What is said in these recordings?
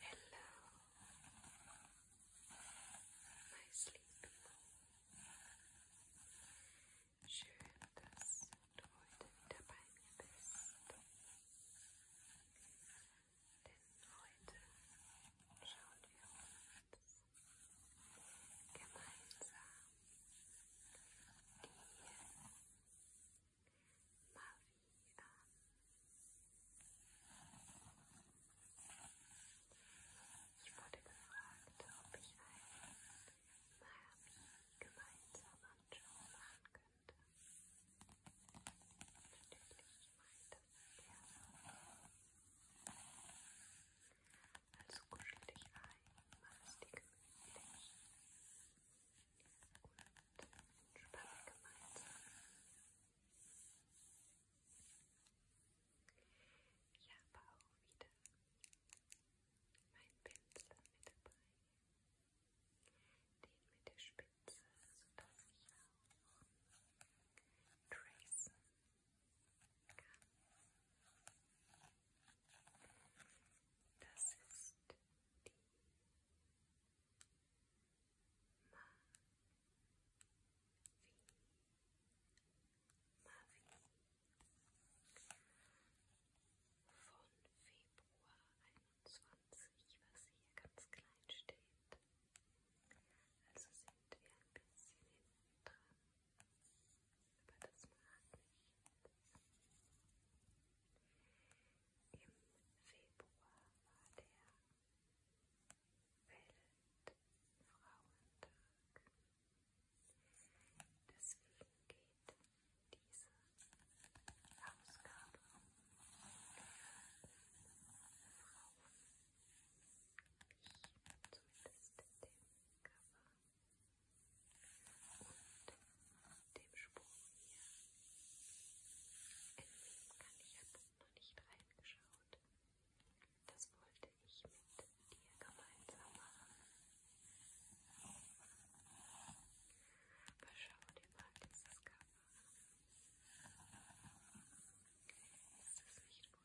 Hello, my Sleepimo. Schön, dass du heute wieder bei mir bist. Denn heute schauen wir uns gemeinsam die ich wurde gefragt, ob ich einen Miami gemeinsam anschauen machen könnte. Natürlich, ich meinte das gerne. Also kuschel dich ein, mach es dir gemütlich und entspanne gemeinsam. Ich habe auch wieder meinen Pinsel mit dabei, den mit der Spitze, sodass ich auch tracen kann. Das ist die Mavi. Mavi. Von Februar 21, was hier ganz klein steht. Also sind wir ein bisschen hinten dran. Aber das mag ich. Im Februar war der Weltfrauentag. Deswegen geht diese Ausgabe um Frauen. Ich zumindest dem Cover und dem Sprung hier. In Wien kann ich ja noch nicht reingeschaut. Das wollte ich mit dir gemeinsam machen. Aber schau dir mal dieses Cover an. Ist das nicht wunderschön?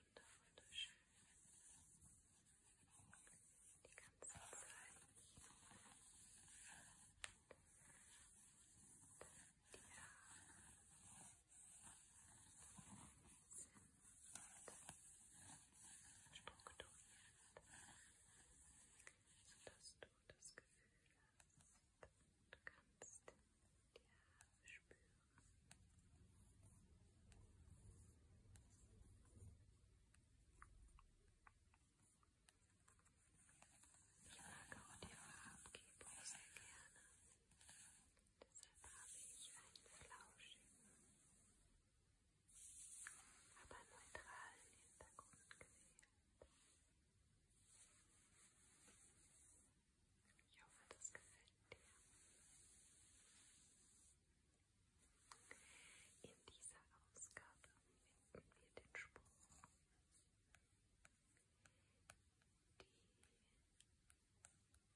die ganze Zeit. Und die sind strukturiert, sodass du das Gefühl hast, du kannst die Haare spüren. Und ich mag auch die Farbgebung sehr gerne. Deshalb habe ich einen flauschigen, aber neutralen Hintergrund gewählt. Ich hoffe, das gefällt dir. In dieser Ausgabe finden wir den Spruch. Die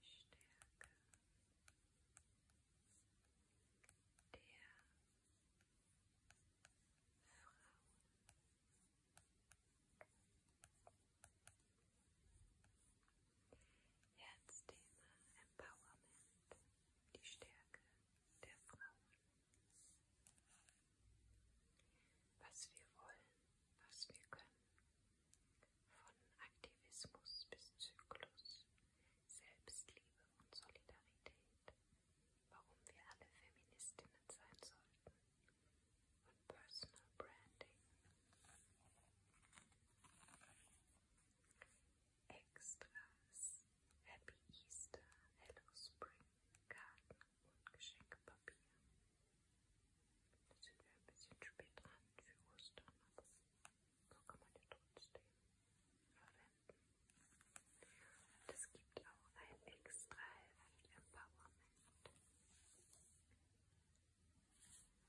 Stärke der Frauen. Herzthema Empowerment die Stärke der Frauen. Was wir wollen, was wir können, von Aktivismus bis Zyklus, Selbstliebe und Solidarität, warum wir alle Feministinnen sein sollten und Personal Branding. Extras, Happy Easter, Hello Spring, Karten und Geschenkpapier. Da sind wir ein bisschen spät dran für Ostern, aber so kann man ja trotzdem verwenden. Und es gibt auch ein extra Heft Empowerment.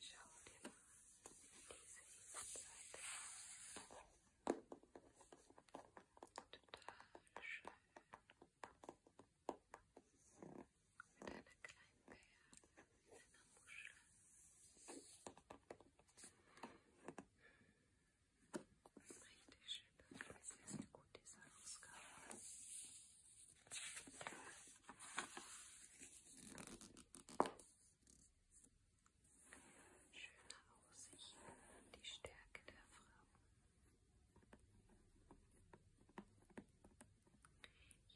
shouted Mit einer kleinen Perle in einer Muschel. Richtig schön, das ist sehr gut, diese Ausgabe. Schöne Aussicht, die Stärke der Frau.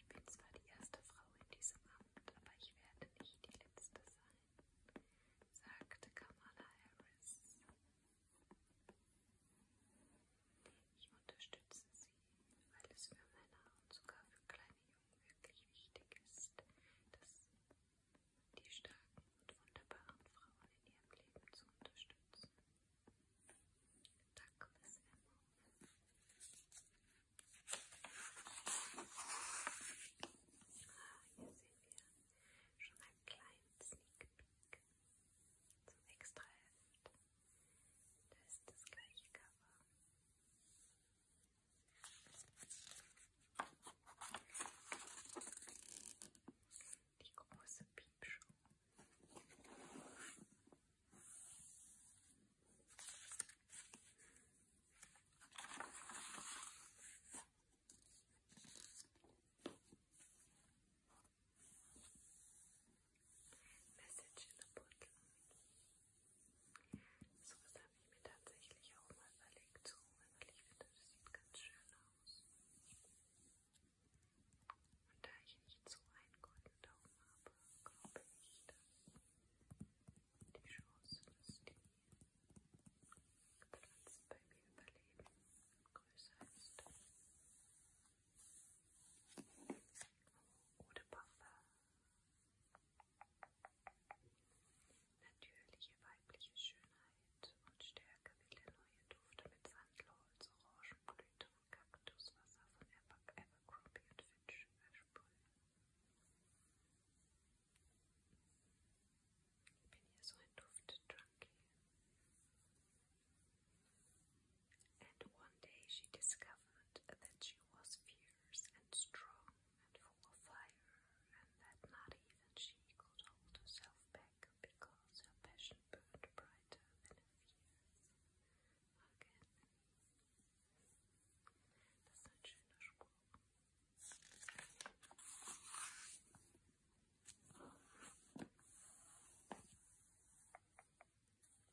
Ich bin zwar die erste Frau in diesem Amt, aber ich werde nicht die letzte sein, sagte Kamala Harris. Ich unterstütze Sie weil es für Männer und sogar für kleine Jungen wirklich wichtig ist, dass die starken und wunderbaren Frauen in ihrem Leben zu unterstützen. Danke, Miss Emma. Ah, hier sehen wir schon einen kleinen Sneak Peek zum Extraheft. Da ist das gleiche Cover. Die große Piepshow. Message in a Bottle. So was habe ich mir tatsächlich auch mal überlegt zu holen, weil ich finde, das sieht ganz schön aus. Und da ich nicht so einen guten Daumen habe, glaube ich, dass die Chance, dass die Pflanzen bei mir überleben, größer ist. Oder Parfum. Natürliche weibliche Schönheit und Stärke will der neue Duft mit Sandholz, Orangenblüte und Kaktuswasser von Abercrombie und Fitch versprühen. Ich bin hier so ein Duft-Junkie. And one day she discovered that she was fierce and strong and full of fire, and that not even she could hold herself back because her passion burned brighter than her fears. Again. Das ist ein schöner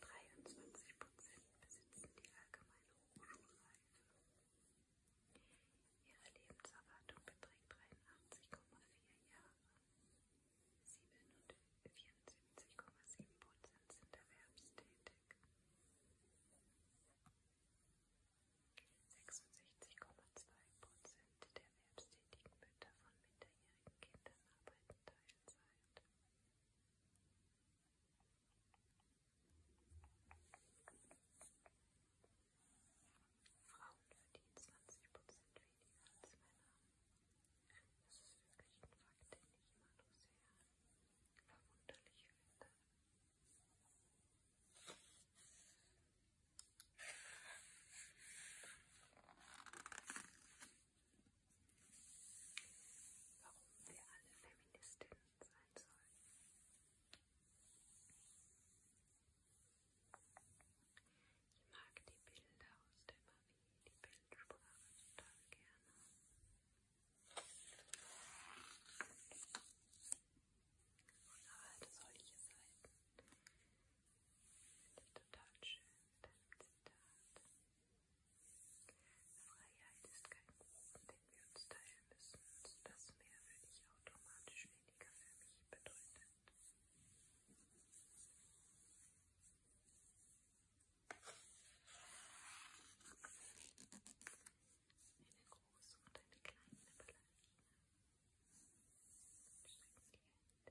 23 Prozent besitzen die allgemeine Hochschulreife. Ihre Lebenserwartung beträgt 83,4 Jahre. 74,7 Prozent sind erwerbstätig. 66,2 Prozent der erwerbstätigen Mütter von minderjährigen Kindern arbeiten Teilzeit. Zeit. Frauen verdienen 20 Prozent weniger als Männer. Das ist wirklich ein Fakt, den ich immer nur sehr verwunderlich finde warum wir alle Feministinnen sein sollen. Ich mag die Bilder aus der Marie, die Bildsprache total gerne. Und halt solche Seiten. Finde ich total schön. Mit dem Zitat. Freiheit ist kein Kuchen, den wir uns teilen müssen. Also das Meer würde ich automatisch weniger für mich bedeutet. Eine große und eine kleine Ballerina strecken die Hände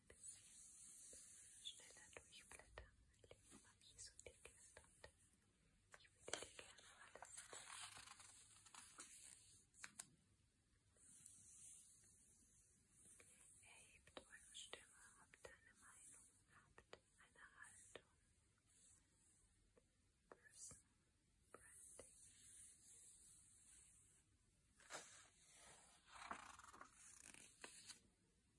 ein bisschen schneller durchblättern, weil die Magie so dick ist und ich würde dir gerne alles Erhebt eure Stimme, habt eine Meinung, habt eine Haltung. Person Branding. Genauso wie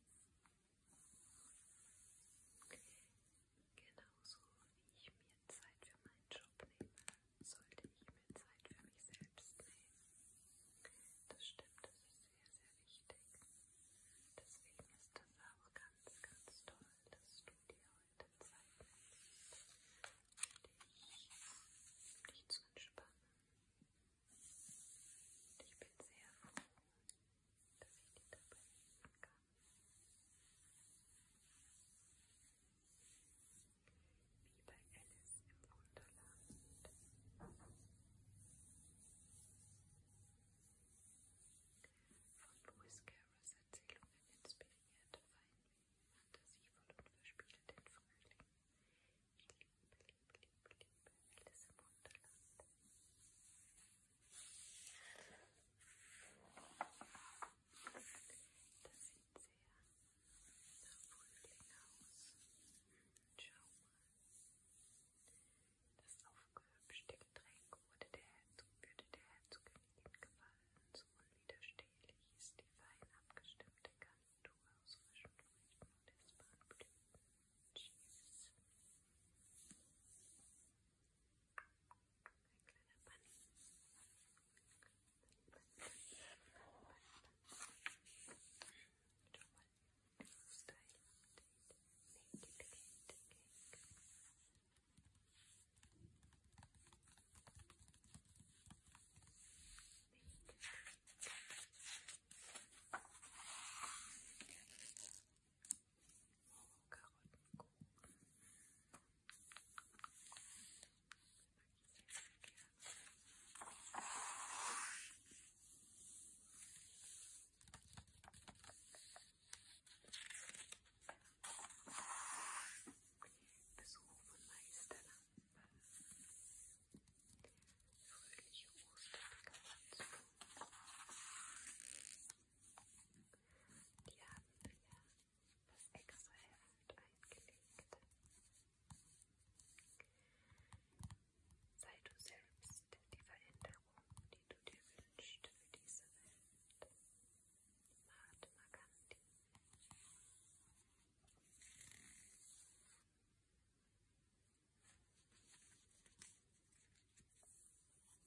ich mir Zeit für meinen Job nehme, sollte ich mir Zeit für mich selbst nehmen. Das stimmt, das ist sehr, sehr wichtig. Deswegen ist das auch ganz, ganz toll, dass du dir heute Zeit nimmst, dich, dich zu entspannen, und ich bin sehr froh, dass ich dir dabei helfen kann. Wie bei Alice im Wunderland. Von Lewis Carrolls Erzählungen inspiriert, fein, fantasievoll und verspielt den Frühling Alice im Wunderland. Das sieht sehr nach Frühling aus. Schau mal. Das aufgehübschte Getränk wurde der würde der Herzogin gefallen. So unwiderstehlich ist die fein abgestimmte Gans. Handtuch auswischen, feuchten und es waren Blütenchips. Ein kleiner Bunny. Style Naked Cake. Naked Besuch von Meisterland. Fröhliche Ostern Katze. Die haben wir das extra Heft eingelegt. Sei du selbst die Veränderung, die du dir wünschst für diese Welt. Mahatma Gandhi.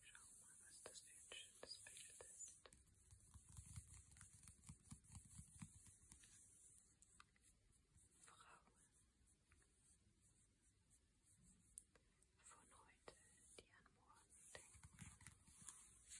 Schau mal, was das für ein schönes Bild ist. Frauen von heute, die an morgen denken. Blätter durch.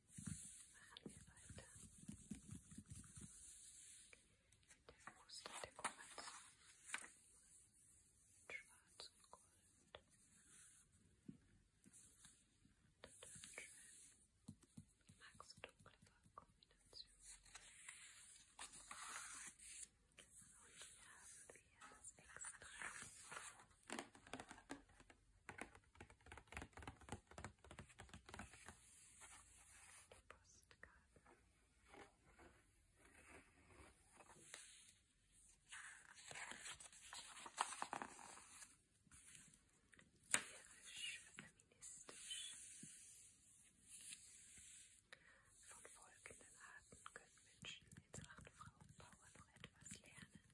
Machen wir weiter. Der Fuß der Kommens. Schwarz und Gold. Total schön. Ich mag so dunkle Farbkombinationen. Und hier haben wir das extra. Postkarten. Tierisch, feministisch. Von folgenden Arten können Menschen in Sachen Frauenpower noch etwas lernen.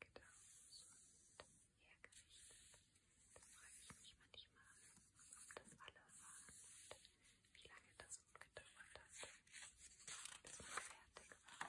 geradeaus und hergerichtet. Da frage ich mich manchmal, ob das alle waren und wie lange das gut gedauert hat, bis man fertig war. Kaum.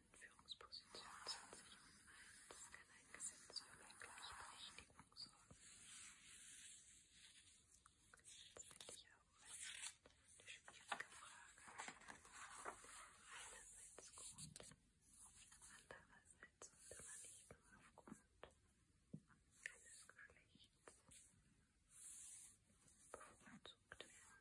Führungsposition 20 1. Das kann ein Gesetz für eine Gleichberechtigung sorgen. Jetzt finde ich auch mal eine schwierige Frage. Einerseits gut, andererseits sollte man nicht nur aufgrund eines Geschlechts bevorzugt werden.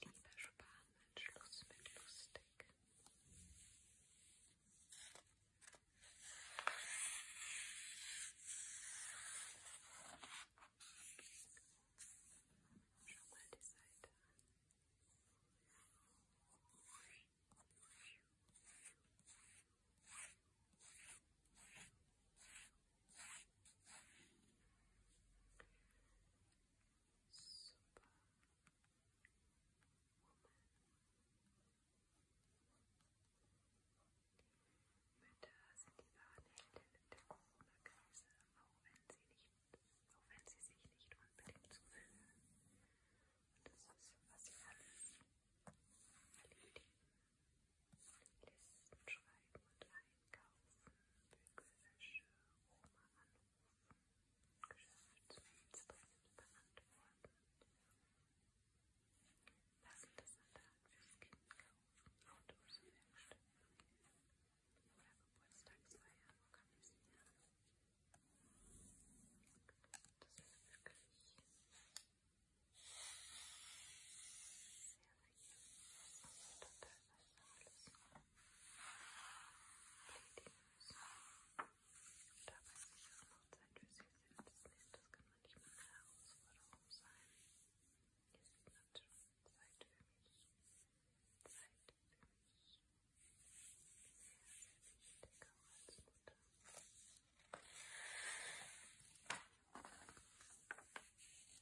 Ich erspare meinen Schluss mit lustig. Schau mal die Seite an. Ach, Mütter sind die Wahrheldin der Corona-Krise, auch wenn sie nicht, auch wenn sie sich nicht unbedingt so fühlen. Und das ist, was sie alles erledigen. Listen schreiben und einkaufen, Bügelwäsche, Oma anrufen, Geschäftsmails dringend beantworten, passendes Salat fürs Kind kaufen, Autos Werkstatt oder Geburtstagsfeier organisieren. Das ist wirklich sehr, sehr Dabei sich auch noch Zeit für sich selbst nehmen, das kann manchmal eine Herausforderung sein. Jetzt ist natürlich Zeit für mich. Zeit für mich. Sehr, sehr wichtig auch als Mutter.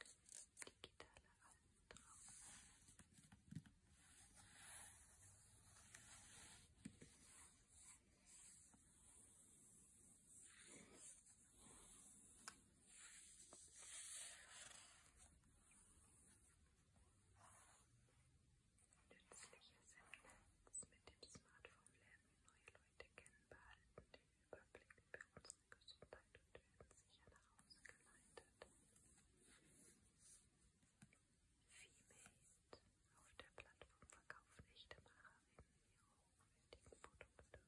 Digitale Nützliches im Netz mit dem Smartphone lernen neue Leute kennen, behalten den Überblick bei uns Gesundheit und werden sicher nach Hause geleitet. Femate auf der Plattform verkauft echte Macherinnen ihre hochwertigen Produkte.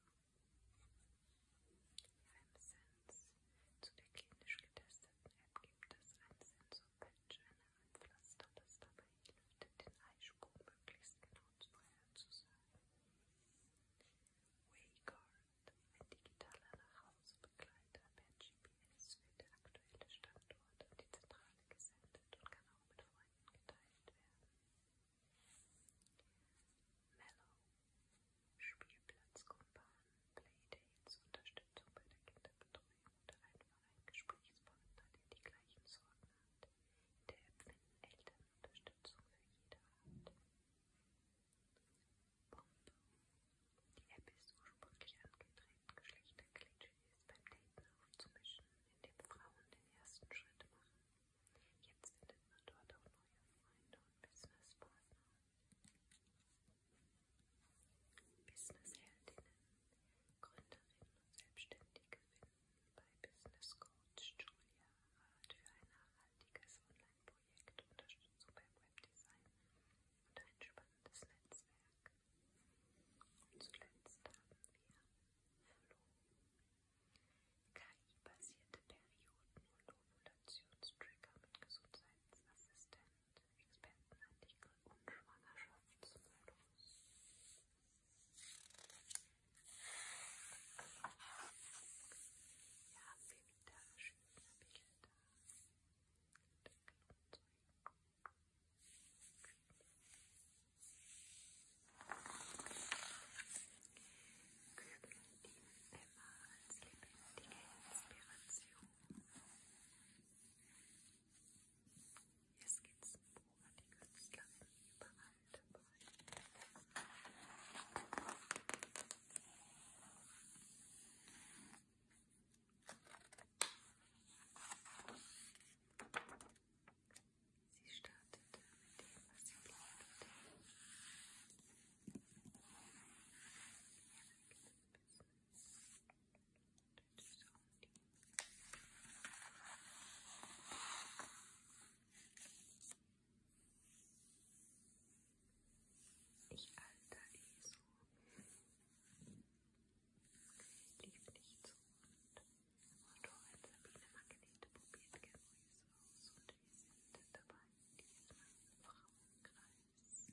FemSense zu der klinisch getesteten App gibt es einen Sensor-Patch, ein Pflaster, das dabei hilft, den Eisprung möglichst genau vorherzusagen. Waycard, ein digitaler Nachhausebegleiter per GPS, wird der aktuelle Standort an die Zentrale gesendet und kann auch mit Freunden geteilt werden. Mellow, Spielplatzkumpan, Playdates, Unterstützung bei der Kinderbetreuung oder einfach ein Gesprächspartner, der die gleichen Sorgen hat. In der App finden Eltern Unterstützung für jede Art. Bombe. Die App ist ursprünglich angetreten, Geschlechterklischees beim Daten aufzumischen, indem Frauen den ersten Schritt machen. Jetzt findet man dort auch neue Freunde und Businesspartner. Businessheldinnen, Gründerinnen und Selbstständige finden bei Business Coach Julia Rath für ein nachhaltiges Online-Projekt, Unterstützung beim Webdesign und ein spannendes Netzwerk. Und zuletzt haben wir Flow. KI-basierte Perioden- und Ovulationstrigger mit Gesundheitsassistent, Expertenartikel und Schwangerschaftsmodus. Ja, haben wir wieder schöne Bilder. Kübel dienen immer als lebendige Inspiration. Hier Skizzen, wo die Künstlerin überall Sie startete mit dem, was sie brauchte. Ihr ich alter eh so. Lief nicht so und Motorrad Sabine Margarete probiert Gerüse aus und wir sind dabei diesmal im Frauenkreis.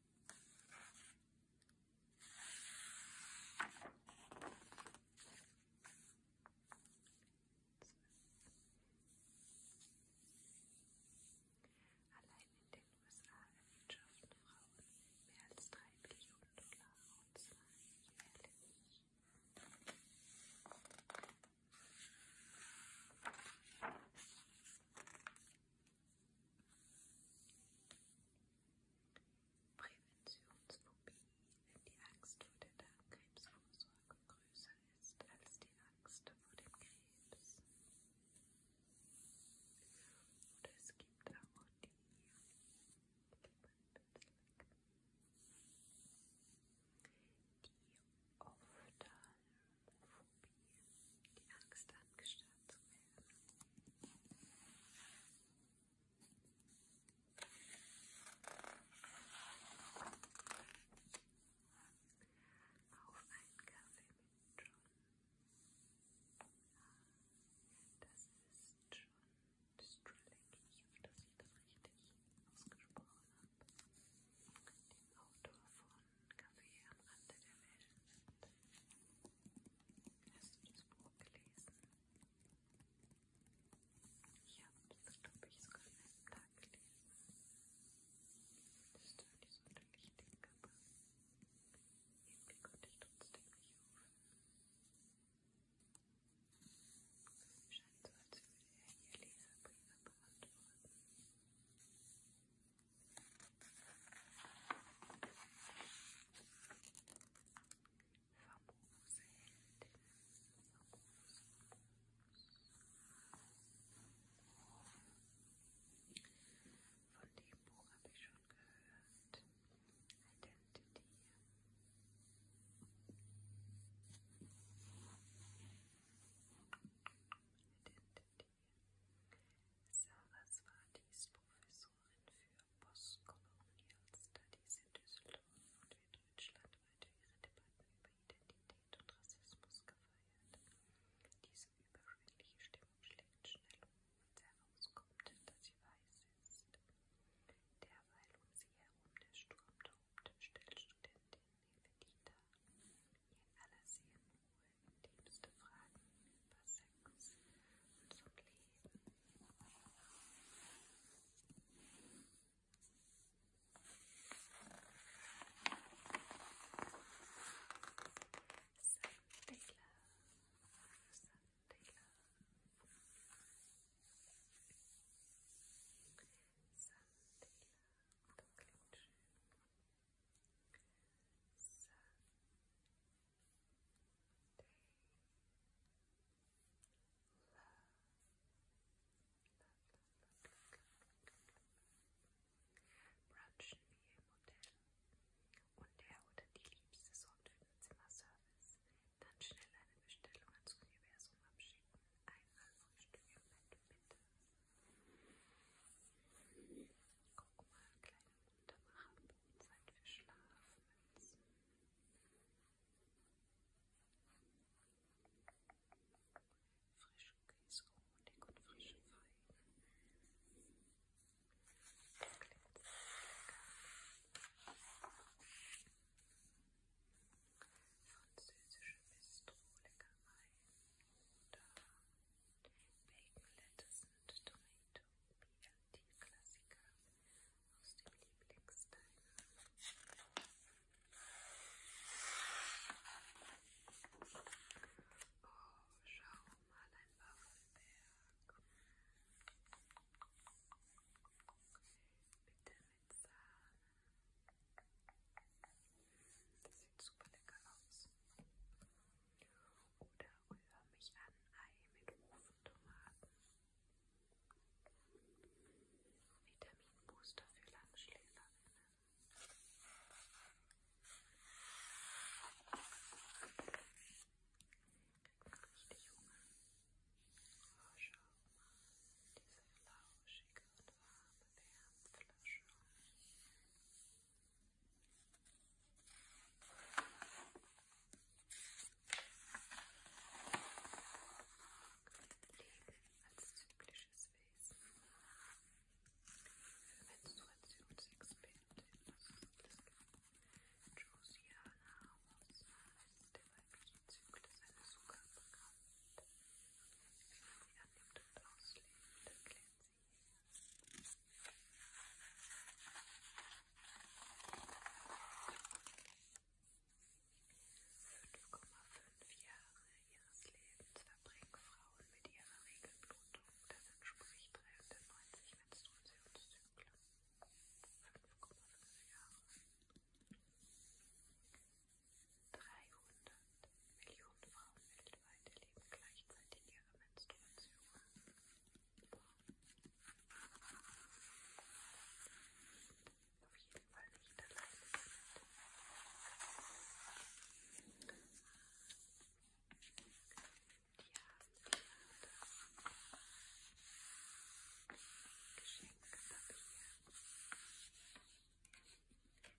Allein in den USA erwirtschaften Frauen mehr als drei Billionen Dollar und zwar jährlich. Präventionsphobie. Wenn die Angst vor der Darmkrebsvorsorge größer ist als die Angst vor dem Krebs. Oder es gibt auch die die Ophthalmophobie die Angst angestarrt zu werden. Auf einen Kaffee mit John. Ah, das ist John Strelick. Ich hoffe, dass ich das richtig ausgesprochen habe. Dem Autor von Kaffee am Rande der Welt. Hast du das Buch gelesen? Ja, das glaube ich sogar an einem Tag gelesen. Das ist zwar nicht sonderlich dick, aber irgendwie konnte ich trotzdem nicht aufhören. Scheint so, als würde er hier Leserbriefe beantworten. Famose Heldin. Von dem Buch habe ich schon gehört. Identity. Identity. Saraswati ist Professorin für Postkolonial Studies in Düsseldorf und wird deutschlandweit für ihre Debatten über Identität und Rassismus gefeiert. Diese überschwängliche Stimmung schlägt schnell um, als herauskommt, dass sie weiß ist. Derweil um sie herum der Sturm tobt, stellt Studentin Nevedita aller Seelenruhe intimste Fragen über Sex und zum Leben. Sunday Love, Sunday Love, Sunday Love, das klingt schön. Brunchen wie im Hotel. Und der oder die Liebste sorgt für den Zimmerservice. Dann schnell eine Bestellung ans Universum abschicken. Einmal Frühstück im Bett, bitte. Guck mal, kleine dann machen wir Zeit für Schlafmützen. Frische Käsehonig und frische Feigen. Das klingt sehr lecker. Französische Bistro-Leckerei. Bacon, Lettuce und Tomato BLT-Klassiker aus dem Lieblingsteil. Oh, schau mal, ein Waffelberg. Bitte mit Sahne. Das sieht super lecker aus oder rühre mich an Ei mit Ofentomaten. Vitaminbooster für Langschläferinnen. Richtig Hunger. Oh, schau mal, diese lauschige und warme Wärmflasche. Leben als zyklisches Wesen. Menstruationsexperte Josiana Ramos als der weibliche Zyklus eines Zucker bekannt. Wie man ihn annimmt und auslebt, erklärt sie Jahre ihres Lebens verbringen Frauen mit ihrer Regelblutung. Das entspricht 93 Menstruationszyklen. 5,5 Jahre. 300 Millionen Frauen weltweit erleben gleichzeitig ihre Menstruation. Auf jeden Fall nicht alleine damit. Die haben Geschenkpapier mit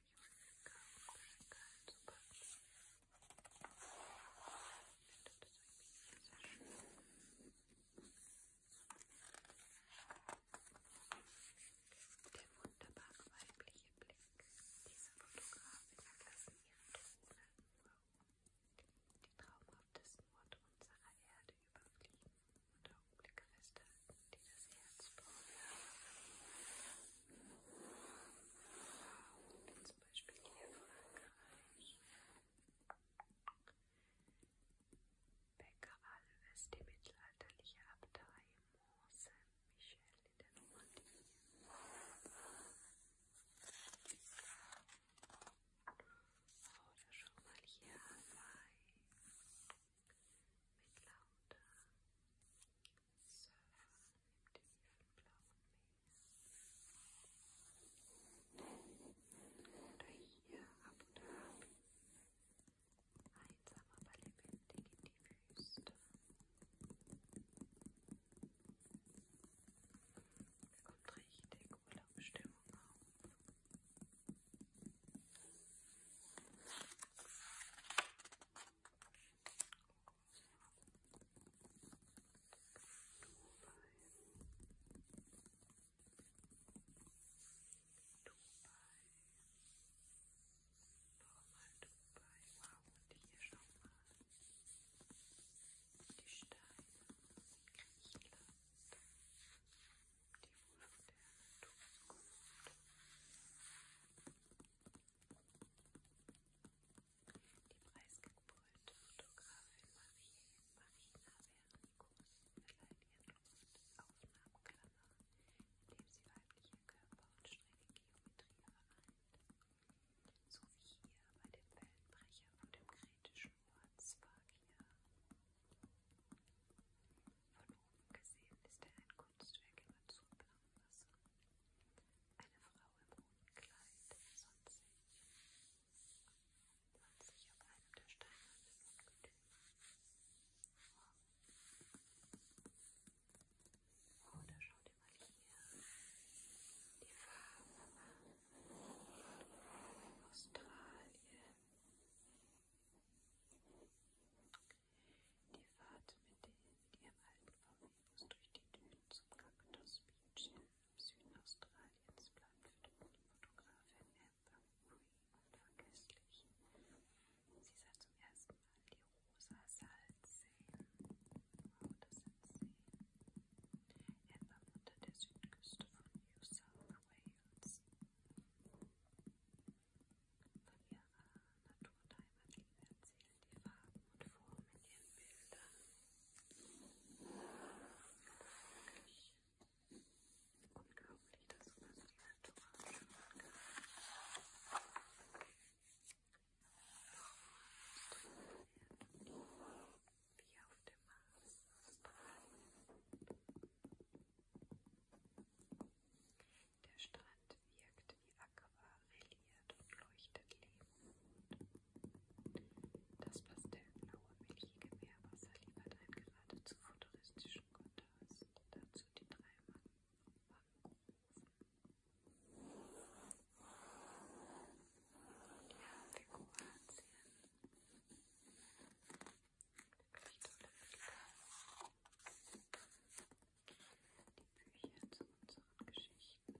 Der wunderbare weibliche Blick. Diese Fotografin erlassen ihren Tone nur, die traumhaftesten Orte unserer Erde überfliegen und Augenblicke festhalten, die das Herz berühren. Wie zum Beispiel hier Frankreich. Bäcker Alves, die mittelalterliche Abtei Mont-Saint-Michel in der Normandie. Oder oh, schon mal hier Hawaii mit lauter Surfen im tiefen blauen Meer. Oder hier ab und ab. Einsam, aber lebendig in die Wüste. Da kommt richtig Urlaubsstimmung auf. Nochmal Dubai. Wow, und hier schau mal. Die Steine. Griechenland. Die Wurf der Zukunft. Die preisgekrönte Fotografin Marie Marina Vernikus verleiht ihren Duft Aufnahmeklammer, indem sie weibliche Körper und strenge Geometrie vereint. So wie hier bei dem Wellenbrecher und dem kretischen Wort Sparkia gesehen ist er ein Kunstwerk im azurblauen Wasser. Eine Frau im roten Kleid sonnt sich, sonnt sich auf einem der steinernen Ungetüme. Oh, da schaut ihr mal hier. Die Farbe Australien. Die Fahrt mit, den, mit ihrem alten VW-Bus durch die Dünen zum Cactus Beach im Süden Australiens bleibt für die Fotografin Amber Murray unvergesslich. Sie sah zum ersten Mal die rosa Salzseen. Wow, das sind Seen. Amber wohnt an der Südküste von New South Wales. Von ihrer Naturheimatliebe erzählen die Farben und Formen in ihren Bildern. Unheimlich. Unglaublich, dass man das Natur anschauen kann. Wie auf dem Mars strahlen. Der Strand wirkt wie aquarelliert und leuchtet lebend. Das pastellblaue, milchige Meerwasser liefert einen geradezu futuristischen Kontrast. Dazu die drei Mangroven. Ja, für Kroatien. Wirklich tolle Bilder die Bücher zu unseren Geschichten.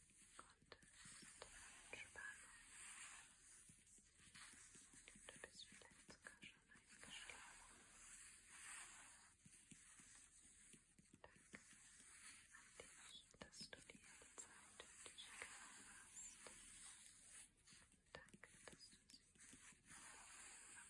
Entspannung. Du bist vielleicht sogar schon eingeschlafen. Danke an dich, dass du dir die Zeit für dich genommen hast. Danke, dass du sie verbrannt hast.